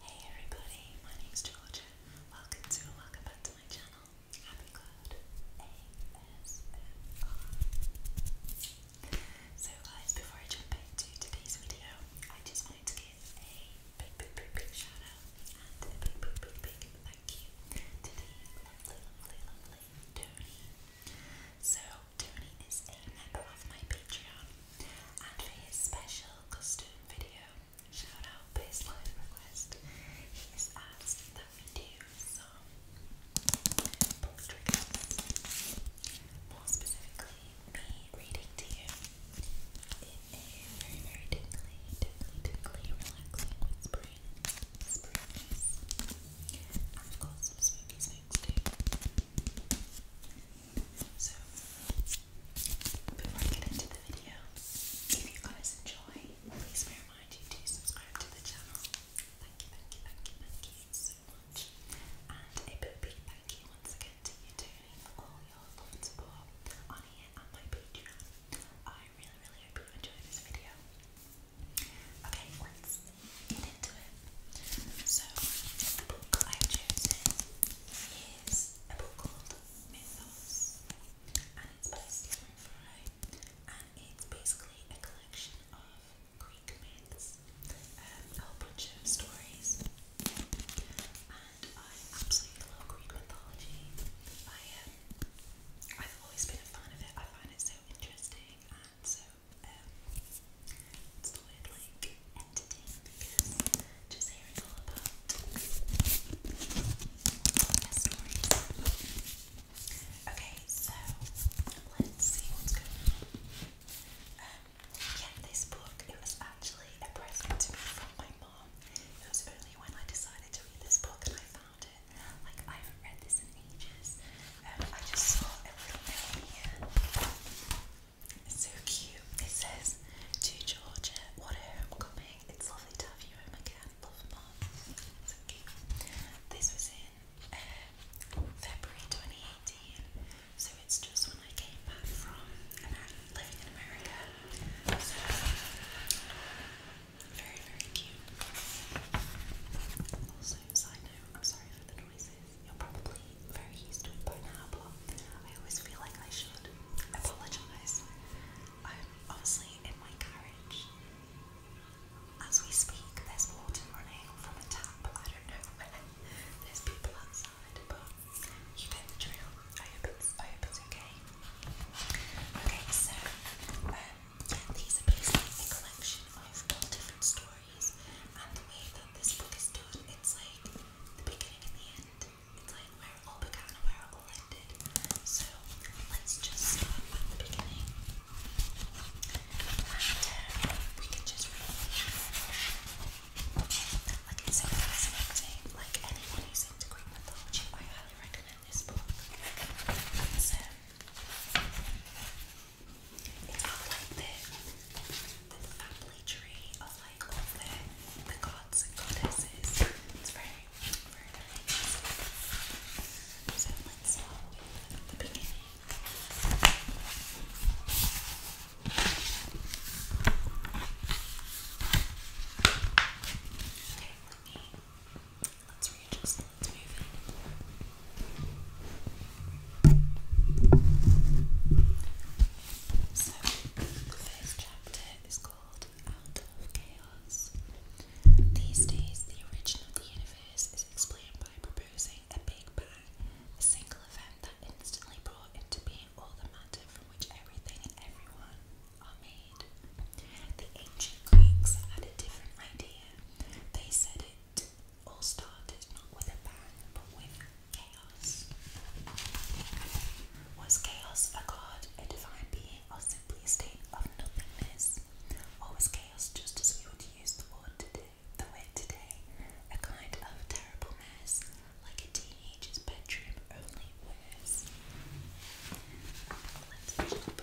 Hey everybody, my name's Georgia. Welcome to and welcome back to my channel, Happy Cloud So guys, before I jump into today's video, I just wanted to give a big, big, big, shout out and a big, big, big, thank you to the lovely, lovely, lovely Tony. So Tony is a member of my Patreon and for his special custom video shout out baseline request, he asked that we do some book triggers. More specifically, me reading to you in a very, very tingly, tingly, tingly, relaxing, whispering, whispering I've got some spooky snakes too. So, before I get into the video, if you guys enjoy, please bear in mind you do subscribe to the channel. Thank you, thank you, thank you, thank you so much. And a big thank you once again to you, Tony, for all your love and support on here and my Patreon. I really, really hope you enjoy this video. Okay, let's get into it. So, book i is a book called Mythos and it's by Stephen Fry and it's basically a collection of Greek myths, um, a whole bunch of stories and I absolutely love Greek mythology. I, um, I've always been a fan of it, I find it so interesting and so um, would like Okay, so let's see what's going on. yeah, this book it was actually a present to me from my mom. It was only when I decided to read this book and I found it. Like I haven't read this in ages. Um, I just saw a little note here. It's so cute. It says, To Georgia, what a homecoming. It's lovely to have you home again. Love mom. So cute. This was in um, February 2018. So it's just when I came back from living in America. very, very cute. Also, side note, I'm sorry for the noises. You're probably very used to it by now, but I always feel like I should apologise. I'm obviously in my carriage. As we speak, there's water running from a tap. I don't know There's people outside, but you get the drill. I hope it's, I hope it's okay. Okay, so um, these are basically a collection of all different stories, and the way that this book is done, it's like the beginning and the end. It's like where it all began and where it all ended. So let's just start at the beginning. we can just read. Like it's so Like anyone who's into Greek mythology, I highly recommend this book. It's like the the family tree of like all the, gods and goddesses. So let's start with the beginning. Okay, let me let's readjust, let's move in. So, the first chapter is called Out of Chaos. These days, the origin of the universe is explained by proposing a Big Bang, a single event that instantly brought into being all the matter from which everything and everyone are made. The ancient Greeks had a different idea. They said it all started not with a bang, but with was chaos a god, a divine being, or simply a state of nothingness? Or was chaos just as we would use the word today, the way today, a kind of terrible mess, like a teenager's bedroom, only worse? Let's jump.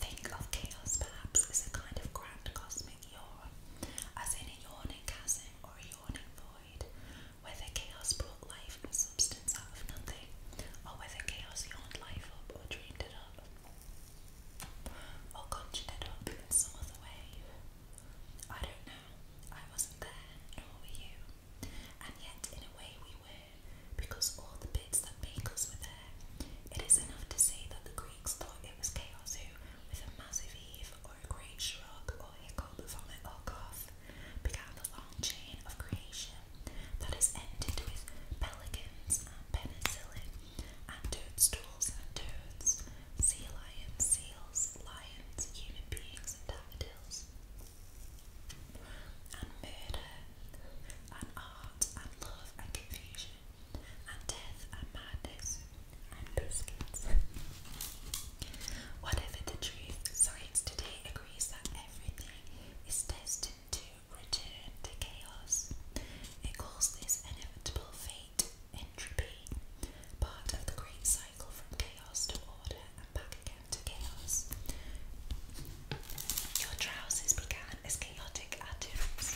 Think of chaos perhaps as a kind of grand cosmic yawn, as in a yawning chasm or yawning void, whether chaos brought life and substance out of nothing, or whether chaos yawned life up or dreamed it up. Or conjured it up in some other way. I don't know. I wasn't there, nor were you. And yet, in a way, we were, because all the bits that make us were there. It is enough to say that the Greeks thought it was chaos who, with a massive heave or a great shrug or hiccup from it or cough, began the long chain of creation that has ended with pelicans and penicillin and toadstools toads, sea lions, seals, lions, human beings and daffodils, and murder, and art, and love, and confusion, and death, and madness, and biscuits. Whatever the truth, science today agrees that everything is tested to return to chaos. It calls this inevitable fate entropy, part of the great cycle from chaos to order and back again to chaos. Your trousers began as chaotic atoms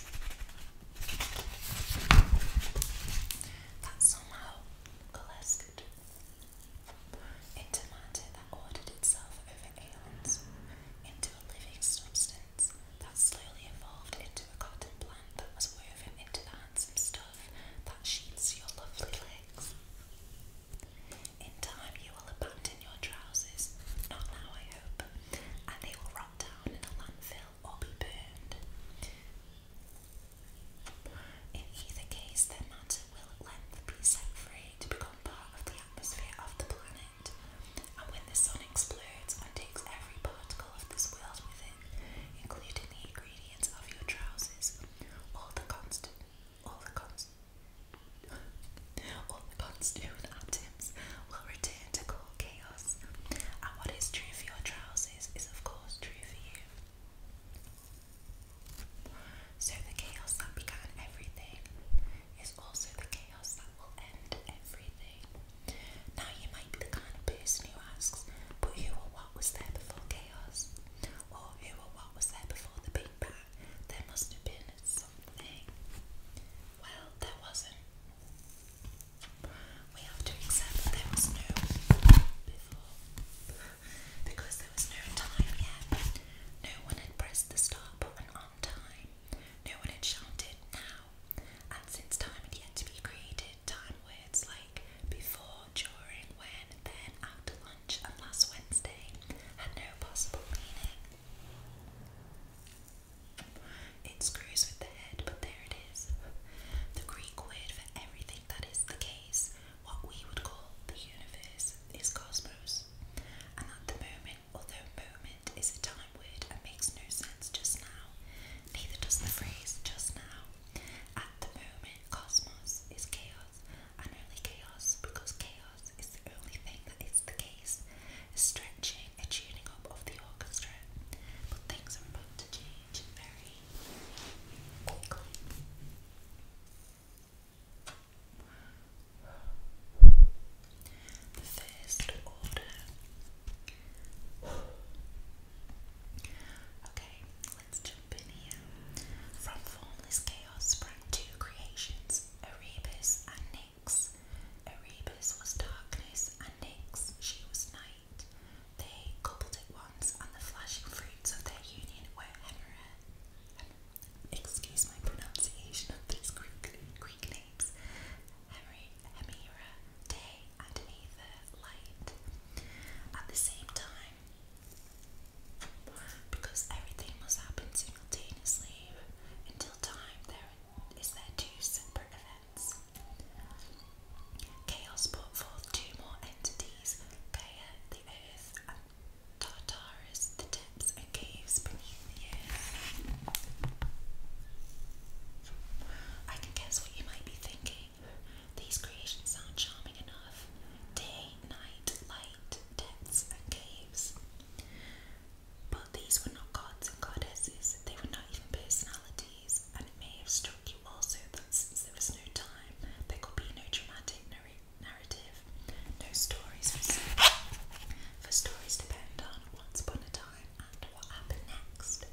that somehow coalesced into matter that ordered itself over aeons into a living substance mountains that slowly evolved into a cotton plant that was woven into the handsome stuff that sheathes your lovely legs. In time, you will abandon your trousers, not now, I hope, and they will rot down in a landfill or be burned. In either case, their matter will at length be set free to become part of the atmosphere of the planet. And when the sun explodes and takes every particle of this world with it, including the ingredients of your trousers, all the constant, all the const, all the constituent atoms will return to call chaos. And what is true for your trousers is, of course, true for you. So the chaos that began everything is also the now, you might be the kind of person who asks, but who or what was there before chaos? Or who or what was there before the Big Bang? There must have been something. Well, there wasn't. We have to accept that there was no before. Because there was no time yet. No one had pressed the start button on time. No one had shouted, now and since time had yet to be created, time words like before, during, when, then, after lunch, and last Wednesday had no possible meaning. It screws with the head, but there it is. The Greek word for everything that is the case, what we would call the universe, is cosmos. And at the moment, although moment is a time word and makes no sense just now, neither does the phrase just now. At the moment, cosmos is chaos, only chaos because chaos is the only thing that is the case, a stretching, a tuning up of the orchestra. But things are about to change very quickly. The first order. Okay, let's jump in here. From formless chaos sprang two creations, Erebus and Nyx. Erebus was darkness, and Nyx, she was night. They coupled at once, and the flashing fruits of their union were Hemera. Excuse my pronunciation of these Greek, Greek names. Henry, day and neither light. At the same time, because everything must happen simultaneously until time, there is there two separate events. Chaos brought forth two more entities, Gaia, the earth, and Tartarus, the tips and caves beneath the earth. I can guess what you might be thinking. These creations sound charming enough. Day, night, light, depths, and caves. But these were not gods and goddesses, they were not even personalities, and it may have struck you also that since there was no time, there could be no dramatic narrative, no stories for for stories depend on once upon a time and what happened next.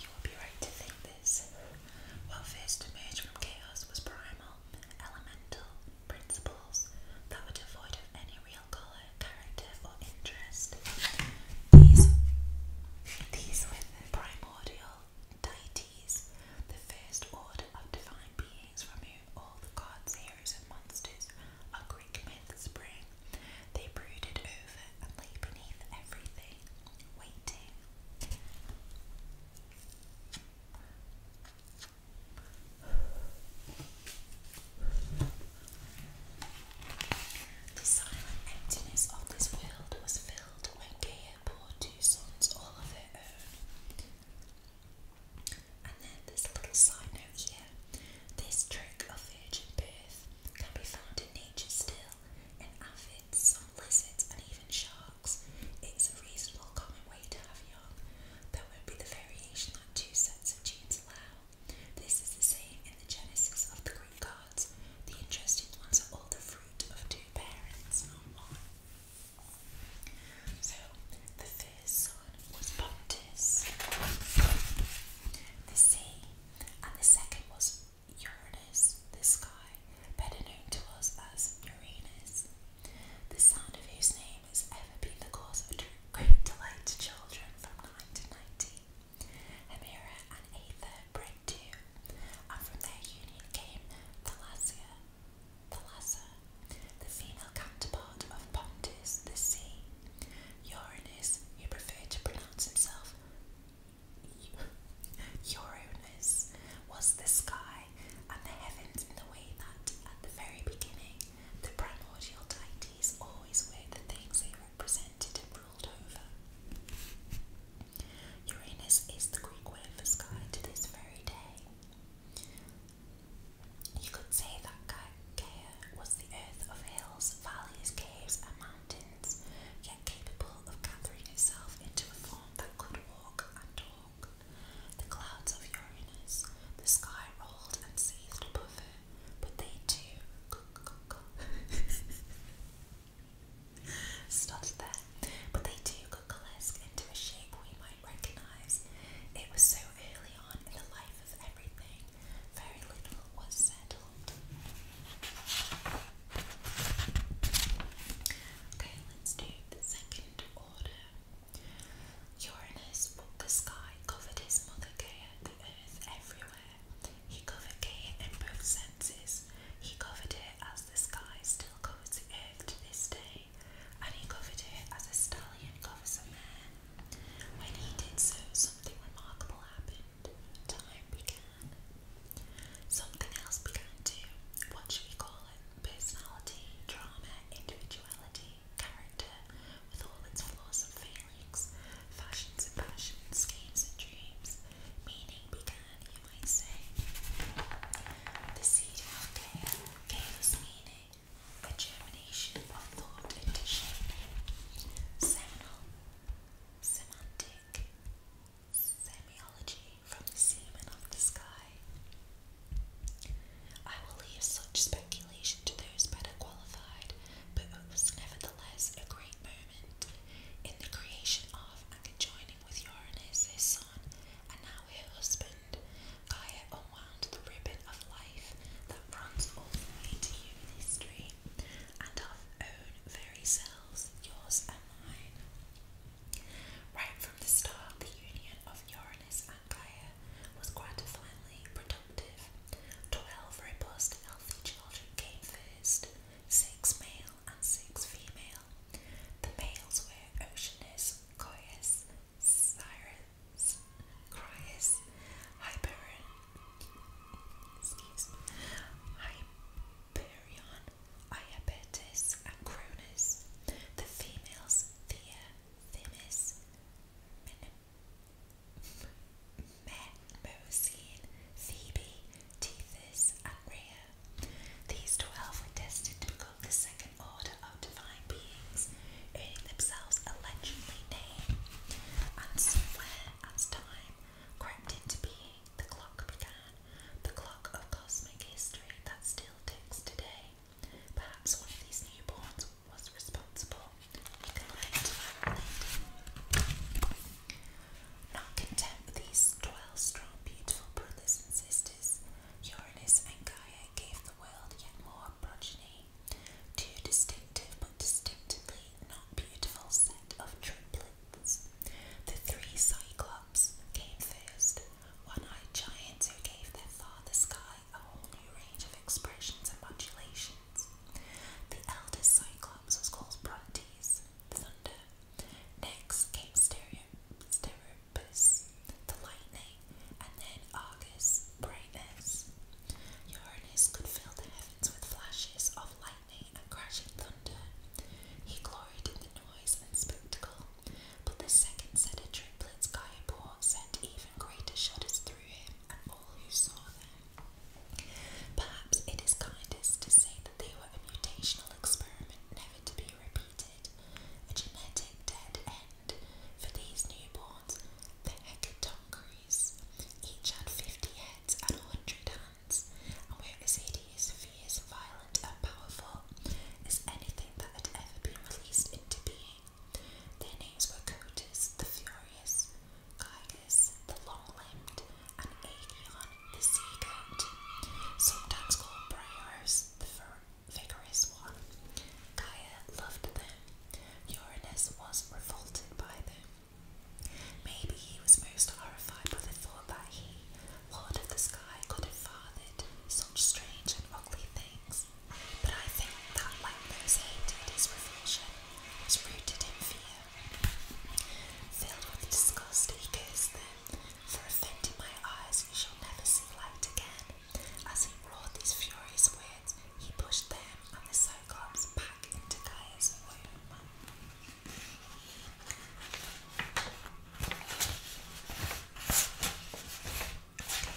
You will be right to think this. What first emerged from chaos was primal, elemental principles that were devoid of any real colour, character, or interest. These, these were primordial the first order of divine beings from whom all the gods, heroes, and monsters of Greek myths spring. They brooded over and lay beneath everything, waiting. The silent emptiness of this world was filled when Gaia bore two sons all of her own. And then there's a little side note here. This trick of virgin birth can be found in nature still, in aphids, some lizards, and even sharks. It's a reasonable common way to have young. There won't be the variation that two sets of genes allow. This is the same in the genesis of the Greek gods. The interesting ones are all the fruit of two parents, so, the first son was Pontus, the sea, and the second was Uranus, the sky, better known to us as Uranus, the sound of whose name has ever been the cause of great delight to children from 1990. Hemera and Aether bred two, and from their union came Thalassia, Thalassa, the female counterpart of Pontus, the sea. Uranus, who preferred to pronounce himself Uranus, was the sky and the heavens in the way that, at the very beginning, the primordial deities always were the things they represented and ruled over. Uranus is the Greek word for sky to this very day. You could say that Gaia was the earth of hills, valleys, caves, and mountains, yet capable of gathering itself into a form that could walk and talk. The clouds of Uranus, the sky rolled and seethed above her, but they too. Stop there but they do coalesce into a shape we might recognize. It was so early on in the life of everything, very little was settled. Okay, let's do the second order. Uranus the sky, covered his mother Gaia, the earth everywhere. He covered Gaia in both senses. He covered it as the sky still covers the earth to this day and he covered it as a stallion covers a mare. When he did so, something remarkable happened. Time began. Something else began too. What should we call it? Personality, drama, individuality, character, with all its flaws and failings, fashions and passions, schemes and dreams. Meaning began you might say. The seed of Altea gave us meaning, a germination of thought into Seminal, semantic, semiology from the semen of the sky. I will leave such speculation to those better qualified, but it was nevertheless a great moment in the creation of and conjoining with Uranus and now her husband. Gaia unwound the ribbon of life that runs all the way to human history, and of own very selves, yours and mine. Right from the start, the union of Uranus and Gaia was gratifyingly productive. Twelve robust, healthy children came first, six male and six female. The males were Oceanus, Coeus, Cyrus, Crius, Hyperion, excuse me, Hyperion, Iapetus, and Cronus. The females, Thea, Themis, Menosine, Thebe, Tethys, and Rhea. These twelve were destined to become the second order of divine beings, earning themselves a legendary name. And somewhere, as time crept into being, the clock began, the clock of cosmic history that still ticks today. Perhaps one of these newborns was responsible. You Not content these twelve strong, beautiful brothers and sisters. Uranus and Gaia, gave the world yet more progeny, two distinctive but distinctly not beautiful set of triplets. The three Cyclops came first, one-eyed giants who gave their father Sky a whole new range of expressions and modulations. The eldest Cyclops was called Brontes, Thunder. Next came Stereo, Stereo the lightning, and then Argus, brightness. Uranus could fill the heavens with flashes of lightning and crashing thunder. He gloried in the noise and spectacle, but the second set of triplets Gaia bore sent even greater shudders through him and all who saw them. Perhaps it is kindest to say that they were a mutational experiment never to be repeated a genetic dead end for these newborns, the hecatonchires. Each had 50 heads and 100 hands, and were as fierce, violent, and powerful as anything that had ever been released into being. Their names were Cotus the Furious, Gygus the Long Limbed, and Aegeon the sea goat, sometimes called Briars, the vigorous one. Gaia loved them. Uranus was revolted by them. Maybe he was most horrified by the thought that he, Lord of the Sky, could have fathered such strange and ugly things. But I think that, like those hated, his revulsion was rooted in fear. Filled with disgust, he cursed them for offending my eyes you shall never see light again. As he roared these furious words, he pushed them and the Cyclops back into Gaia's womb. Okay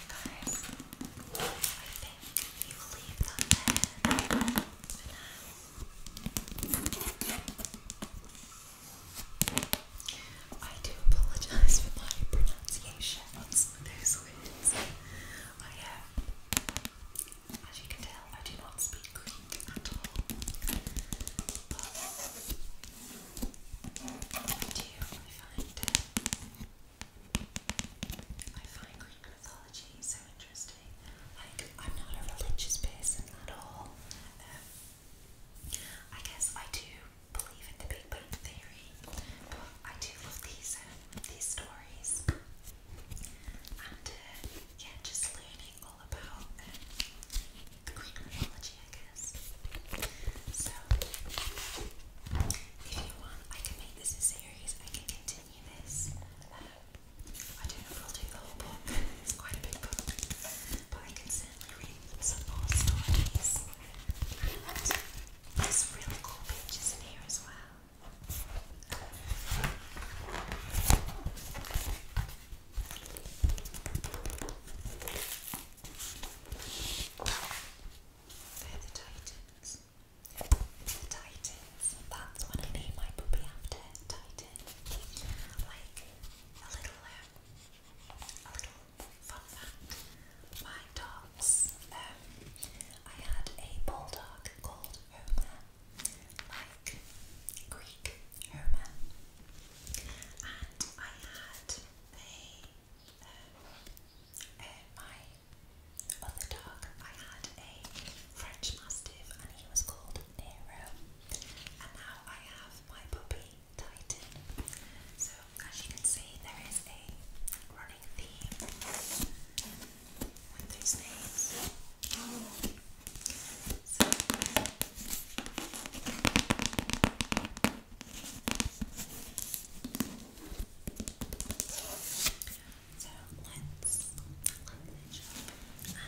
guys, I think you leave that there for now. I do apologize for my pronunciation of those words. I have, uh, as you can tell, I do not speak Greek at all. But I I find, uh, I find Greek mythology so interesting. Like, I'm not a religious person at all. Um, I guess I do believe in the Big Bang Theory, I do love these um, these stories, and uh, yeah, just learning all about um, the Greek mythology, I guess. So, if you want, I can make this a series. I can continue this. Um, I don't know if I'll do the whole book. It's quite a big book, but I can certainly read some personalities. And there's really cool pictures in here as well. they the Titans. It's the Titans. That's when I need my puppy after Titan. Like a little um, a little My dogs, um, I had a bulldog called Homer, like Greek Homer, and I had a, um, uh, my other dog, I had a French Mastiff and he was called Nero, and now I have my puppy Titan. So, as you can see, there is a running theme with these names. So, let's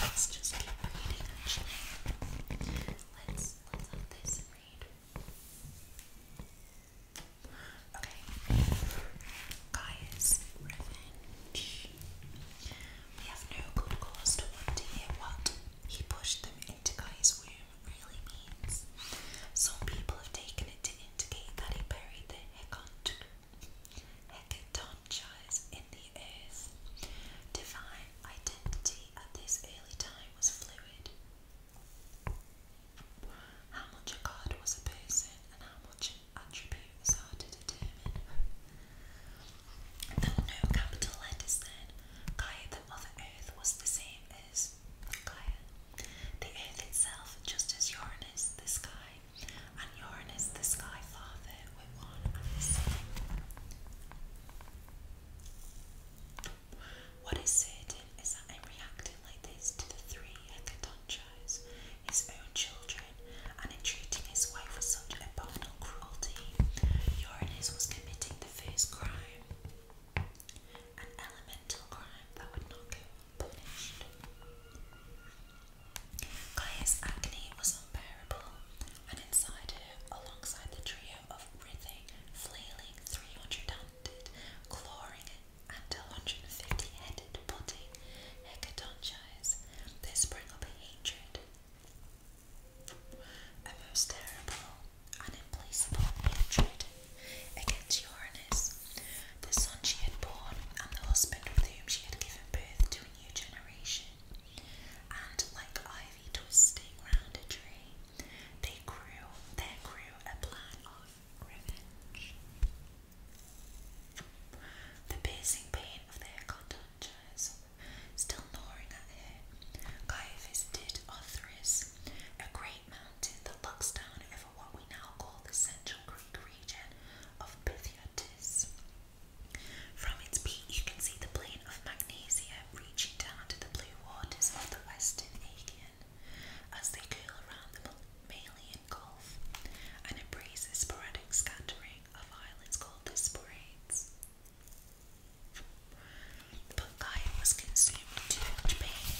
Let's just keep reading, actually. Let's, let's have this and read. Okay. Guys, revenge. We have no good to wonder what he pushed them into Guy's room really means. Some people have taken it to indicate that he buried the hecant Hecatoncha in the earth. Divine identity at this early time was fluid. How much a god was a person and how much an attribute to determine. There no capital letters Gaia, the Mother Earth, was the same as Gaia. The Earth itself, just as Uranus, the sky, and Uranus, the sky father, with one and the sun. is that in reacting like this to the three hecatonchires, his own children, and in treating his wife with such abominable cruelty, Uranus was committing the first crime, an elemental crime that would not go unpunished. Gaia's agony was unbearable, and inside her, alongside the trio of writhing, flailing, three hundred-handed, clawing, and a hundred and fifty-headed body hecatonchires, there sprang up a hatred, a most terrible and hatred against Uranus, the son she had borne and the husband with whom she had given birth to new generation, and like ivy twisting round a tree, they grew there grew a plan of revenge. The piercing pain of their conductors still gnawing at her, Guy visited Othris, a great mountain that looks down over what we now call the central Greek region of Pythiatis. From its peak, you can see the plain of Magnesia reaching down to the blue waters of the Western Aegean as they curl around the Malian Gulf and embrace the sporadic scattering of islands called the Sporades. But Gaia was consumed too much pain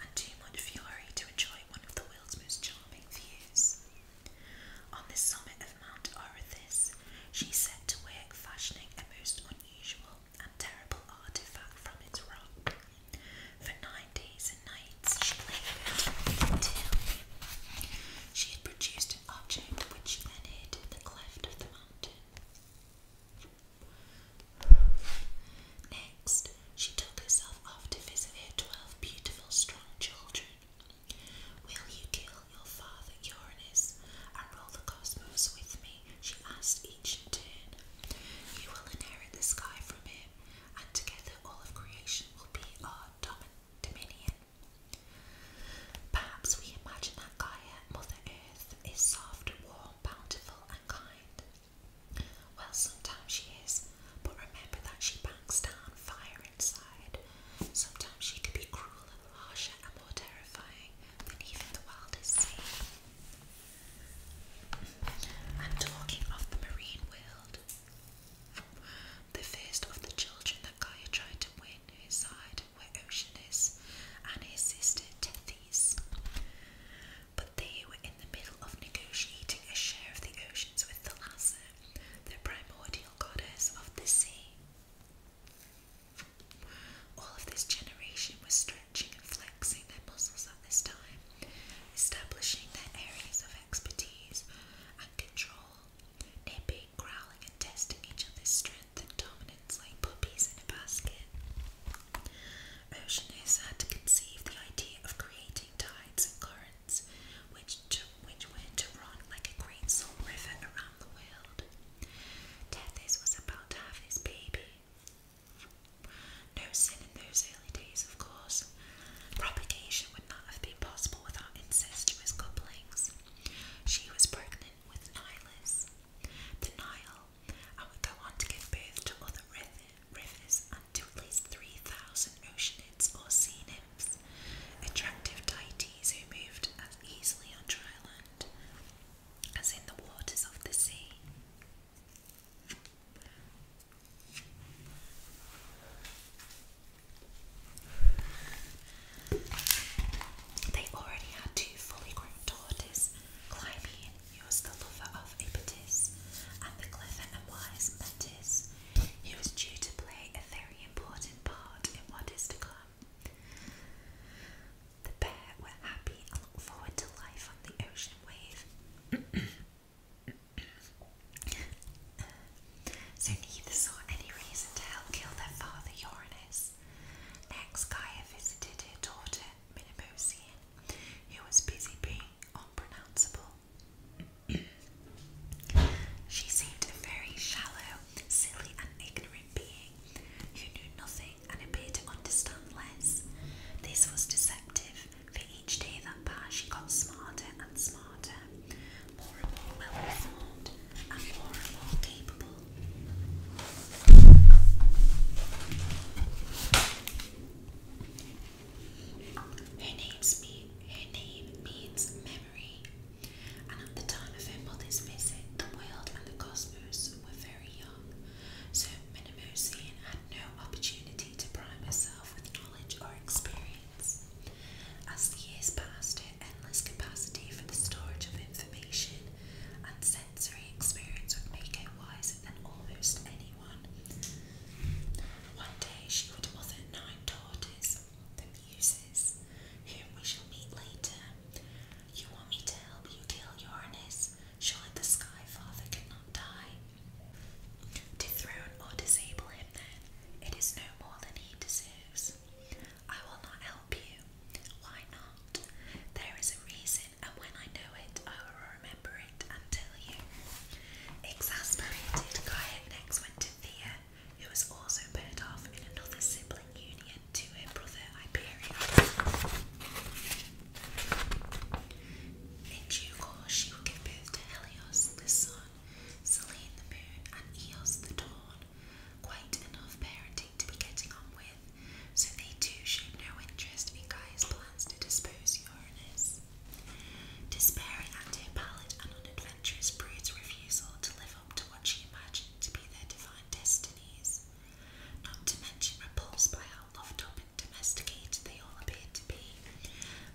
and too much fury to enjoy one of the world's most charming views. On the summit of Mount Orithis, she set to work fashioning a most unusual and terrible artifact from its rock. For nine days and nights she laboured until she had produced an object which she then hid in the cleft of the mountain. Next, she took herself off to visit her twelve beautiful, strong children Will you kill your father Uranus and rule the cosmos with me? She asked each in turn. You will inherit the sky from him, and together all of creation will be our dominion. Perhaps we imagine that Gaia, Mother Earth, is soft, warm, bountiful, and kind. Well, sometimes she is, but remember that she banks down fire inside. Sometimes she can be cruel and harsher and more terrifying than even the wild sea. And talking of the marine world, the first of the children that Gaia tried to win his side were Oceanus and his sister Tethys. But they were in the middle of negotiating a share of the oceans with the Thalassa, the primordial goddess of the sea. All of this generation was stretching and flexing their muscles at this time, establishing their areas of expertise and control, nipping, growling, and testing each other's strength and dominance like puppies in a basket. Oceanus had to conceive the idea of creating tides and currents, which which went to like a great salt river around the world. Tethys was about to have his baby. No sin in those early days, of course. Propagation would not have been possible without incestuous couplings. She was pregnant with Nilus. The Nile, and would go on to give birth to other rivers and to at least 3,000 oceanids or sea nymphs attractive deities who moved as easily on dry land as in the waters of the sea. They already had two fully grown daughters, Clymene, who was the lover of Ipatis, and the clever and wise Metis, he was due to play a very important part in what is to come. The pair were happy and looked forward to life on the ocean wave. so neither saw any reason to help kill their father Uranus. Next, Gaia visited her daughter Minimosian, who was busy being unpronounceable she seemed a very shallow, silly, and ignorant being who knew nothing and appeared to understand less. This was deceptive, for each day that passed, she got smarter and smarter, more and more well informed, and more and more capable. Her, name means memory, and at the time of her mother's visit, the world and the cosmos were very young, so Minimosian had no opportunity to prime herself with knowledge or experience. As the years passed, her endless capacity for the storage of information and sensory experience would make her wiser than almost anyone. One day she would have mother nine the Muses, whom we shall meet later. You want me to help you kill Uranus? Surely the Sky Father cannot die. Dethrone or disable him then. It is no more than he deserves. I will not help you. Why not? There is a reason, and when I know it, I will remember it Exasperated, Kaya next went to Thea, who was also paired off in another sibling union to her brother Hyperion. In due course, she will give birth to Helios, the sun, Selene, the moon, and Eos, the dawn. Quite enough parenting to be getting on with, so they too showed no interest in Gaia's plans to dispose Despairing at her pallid and unadventurous brute's refusal to live up to what she imagined to be their divine destinies, not to mention repulsed by how loved up and domesticated they all appeared to be,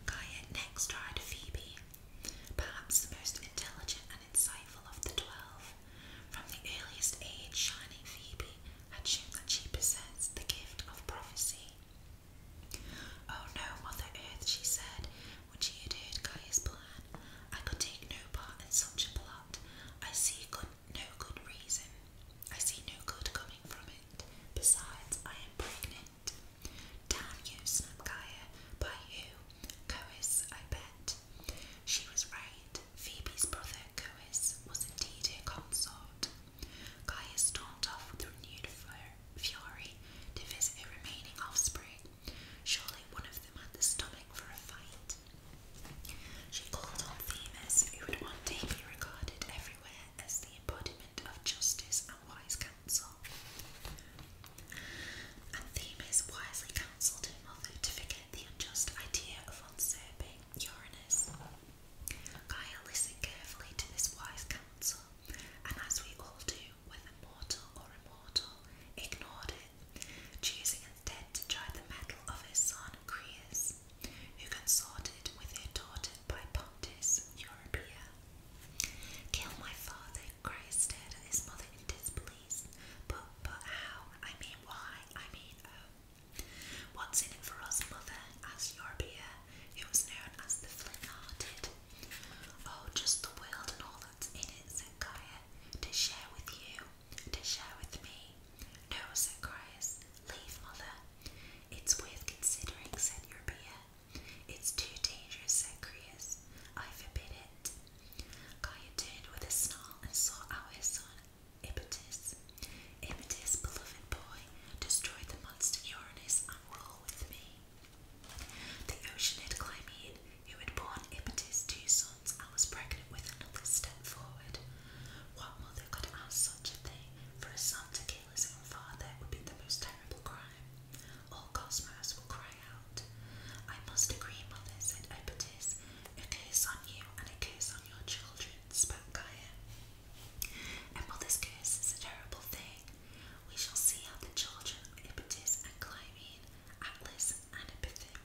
Gaia next tried Phoebe, perhaps the most intelligent and insightful of the twelve. From the earliest age, Shining Phoebe had shown that she possessed the gift of prophecy Oh no, Mother Earth, she said, when she had heard Gaia's plan. I could take no part in such a plot. I see good, no good reason. I see no good coming from it. Besides, I am pregnant. Damn you, snapped Gaia. By who? Coes, I bet. She was right. Phoebe's brother, Coes, was indeed her consort. Gaia stormed off with renewed fury to visit her remaining offspring. Surely one of them had the stomach for a fight. She called on Themis, who would one day be regarded everywhere as the embodiment of justice and wise counsel. And Themis wisely counselled her mother to forget the unjust idea of usurping Uranus. Gaia listened carefully to this wise counsel and as we all do, whether mortal or immortal, ignored it, choosing instead to try the mettle of his son Creus, who consorted with her daughter by Pontus, Europea. Kill my father, Grace stared at his mother in displease. But, but how? I mean, why? I mean, oh. What's in it for us, mother? asked Europea, who was known as the Flynn-hearted. Oh, just the world and all that's in it, said Gaia, to share with you, to share with me. No, said Caius, leave, mother. It's worth considering, said Eurypia. It's too dangerous, said Creus. I forbid it. Gaia turned with a snarl and saw our son, Ipetus. Ipetus, beloved boy, destroy the monster Uranus and roll with me. The Oceanid Clymene, who had borne Ipetus two sons and was pregnant with another, stepped forward. What mother could ask such a thing? For a son to kill his own father would be the most terrible crime. All Cosmos will cry out. I must agree, mother, said Ipetus. A curse on you and a curse on your children, spoke Gaia. A mother's curse is a terrible thing, we shall see how the children of Ipetus and Clymene, Atlas and Epithem,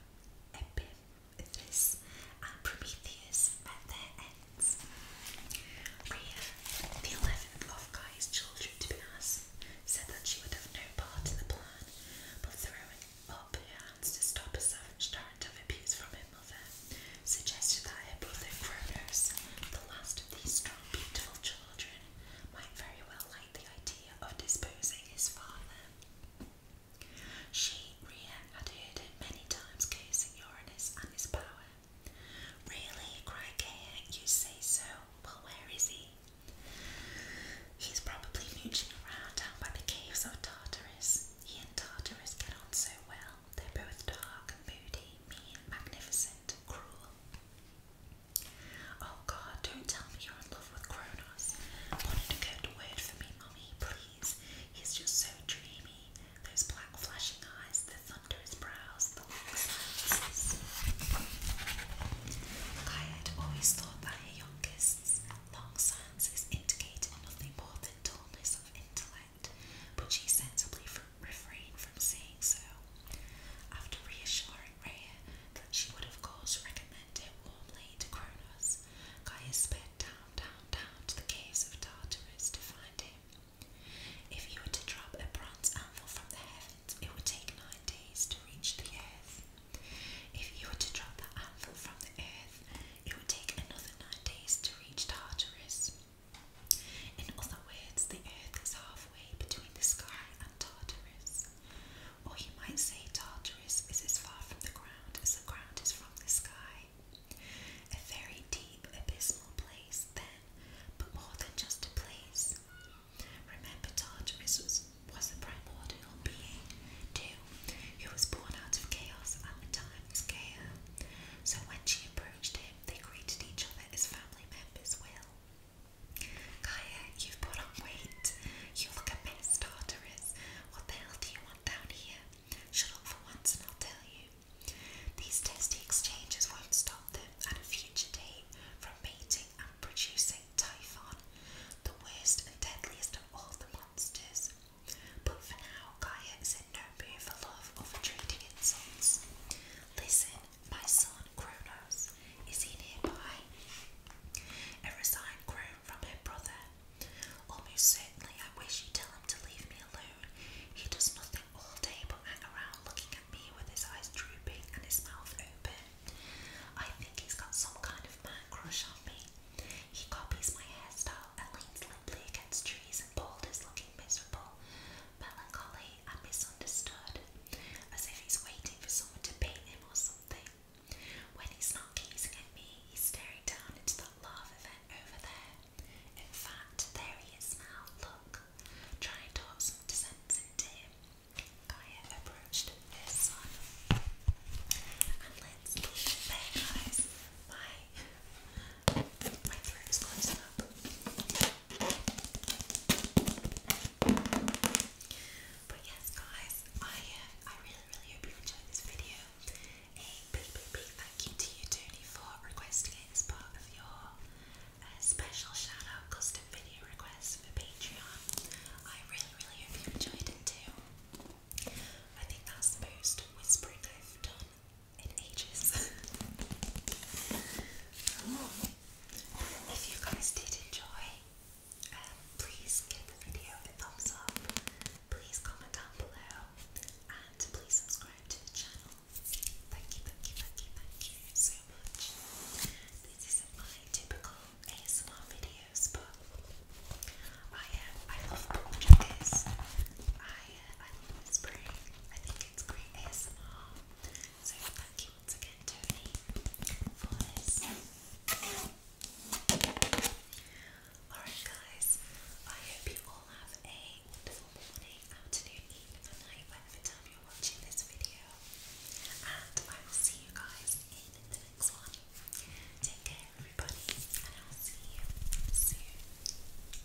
Epithys and Prometheus met their ends. Rhea, the eleventh of Guy's children to Penas, said that she would no part in the plan, but throwing up her hands to stop a savage torrent of abuse from her mother, suggested that her brother Cronos, the last of these beautiful children might very well like the idea of disposing his father. She, Rhea, had heard him many times cursing Uranus and his power. Really, cried Gaia, you say so. Well, where is he? He's probably mooching around down by the caves of Tartarus. He and Tartarus get on so well. They're both dark, and moody, mean, magnificent, cruel. Oh God, don't tell me you're in love with Kronos. Wanted a good word for me, Mummy, please. He's just so dreamy. Those black flashing eyes, the thunderous brows, the long silences. I had always thought that her young long silences indicated nothing more than dullness of intellect but she sensibly refrained from saying so. After reassuring Rhea that she would of course recommend it warmly to Cronos, Gaia sped down, down, down to the caves of Tartarus to find him. If you were to drop a bronze anvil from the heavens, it would take nine days to reach the earth. If you were to drop that anvil from the earth, it would take another nine days to reach Tartarus. In other words, the earth is halfway between the sky and Tartarus. Or you might say Tartarus is as far from the ground as the ground is from the sky. A very deep, abysmal place, then, but more than just a place. Remember, Tartarus was, the a primordial being, too, who was born out of chaos at the time's scale. So when she approached approached they greeted each other as family members will. Kaya, you've put on weight. You look a mess, Tartarus. What the hell do you want down here? Shut up for once and I'll tell you. These testy exchanges won't stop them at a future date from mating and producing Typhon, the worst and deadliest of all the monsters. But for now, Gaia no for love or for treating insults. Listen, my son Kronos is he nearby? A resigned groan from her brother. Almost certainly, I wish you'd tell him to leave me alone. He does nothing all day but hang around looking at me with his eyes drooping and his mouth open. I think he's got some kind of man crush on me. He copies my hairstyle and leans limply against trees and boulders, looking miserable melancholy and misunderstood, as if he's waiting for someone to paint him or something. When he's not gazing at me, he's staring down into that lava vent over there. In fact, there he is now, look. Try and talk some sense into him. Gaia approached her son. And let's leave it guys. My, my throat's closed but yes, guys, I uh, I really really hope you enjoyed this video. A big big big thank you to you, Tony, for requesting it part of your uh, special shout custom video request for Patreon. I really really hope you enjoyed it too. I think that's the most whispering I've in ages. Oh. If you guys did enjoy, um, please give the video a thumbs up. Please comment down below, and please subscribe to the channel. Thank you, thank you, thank you, thank you so much. This isn't my typical ASMR videos, but um, I uh, I love projects. I I love whispering thank you Alright, guys, I hope you all have a wonderful morning, afternoon, evening, or night, whatever time you're watching this video. And I will see you guys in the next one. Take care, everybody, and I'll see you soon.